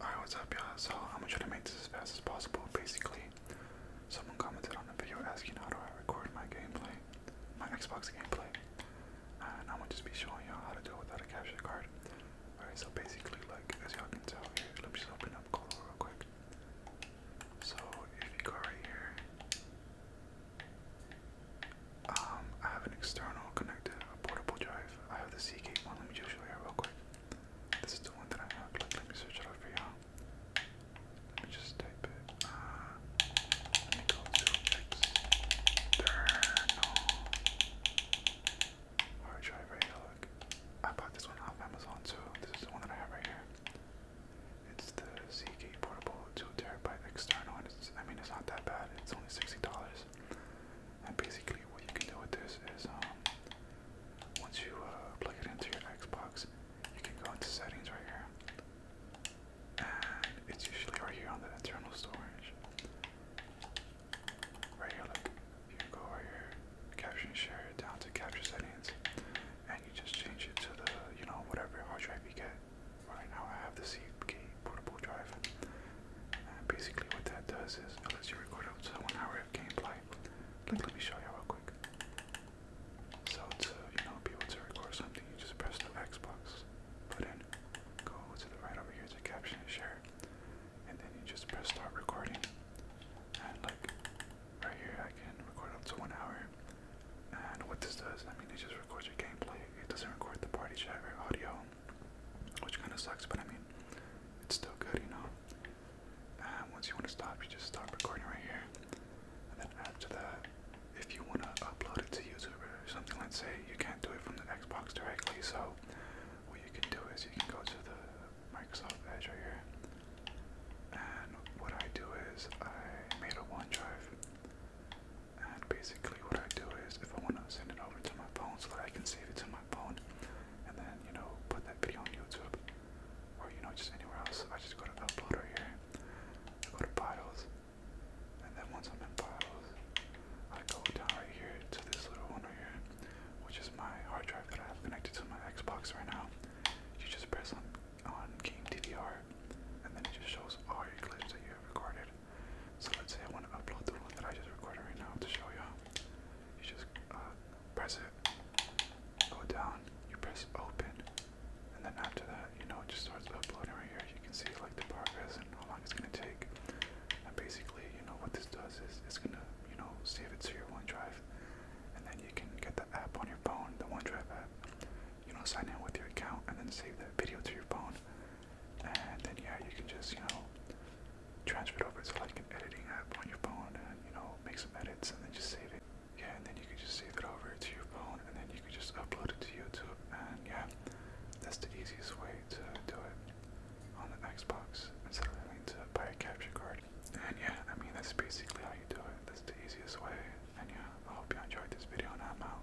Alright, what's up y'all? So I'm gonna try to make this as fast as possible. Basically, someone commented on the video asking how do I record my gameplay, my Xbox gameplay. And I'm gonna just be showing y'all how to do it without a capture card. Alright, so basically like as y'all can tell here, let me just open up Call real quick. So if you go right here, um I have an external connected portable drive. I have the Seagate one. Let me just show you real quick. This is the one that I have. let me search it up for y'all. Let me just type it. Uh, let me go to external hard drive right here. Look, I bought this one off Amazon too. This is the one that I have right here. It's the Seagate portable two terabyte external, and it's, I mean it's not that bad. It's only sixty dollars. And basically, what you can do with this is, um, once you uh, plug it into your Xbox, you can go into settings right here, and it's usually right here on the internal storage. Right here, look. You go here, capture and share down to capture settings, and you just change it to the, you know, whatever hard drive you get. Right now, I have the C portable drive. Uh, basically, what that does is it lets you record up to one hour of gameplay. Like, let me show you real quick. So to you know be able to record something, you just press the Xbox button, go to the right over here to caption and share, and then you just press start recording. And like right here, I can record up to one hour. And what this does, I mean, it just records your gameplay. It doesn't record the party chat or audio which kind of sucks, but I mean, it's still good, you know. Um, once you want to stop, you just stop recording right here, and then after that, if you want to upload it to YouTube or something, let's say you can't do it from the Xbox directly, so what you can do is you can go to the Microsoft Edge right here, and what I do is I made a OneDrive. And basically, what I do is if I want to send it over to my phone so that I can save it to my phone and then, you know, put that video on YouTube or, you know, just anywhere else, I just go to Uploader here, I go to Files, and then once I'm in Files, I go down right here to this little one right here, which is my hard drive that I have connected to my Xbox right now. You just press on, on Game DVR, and then it just shows all your clips that you have recorded. So let's say I want to upload the one that I just recorded right now to show you. You just uh, press it, go down, you press open, and then after that, you know, it just starts uploading right here. You can see like the progress and how long it's gonna take. And basically, you know, what this does is it's gonna, you know, save it to your OneDrive, and then you can get the app on your phone, the OneDrive app. You know, sign in with your account and then save that video to your phone and then yeah, you can just you know transfer it over to like an editing app on your phone, and you know make some edits, and then just save it. Yeah, and then you can just save it over to your phone, and then you can just upload it to YouTube, and yeah, that's the easiest way to do it on the Xbox instead of having to buy a capture card. And yeah, I mean that's basically how you do it. That's the easiest way. And yeah, I hope you enjoyed this video, and I'm out.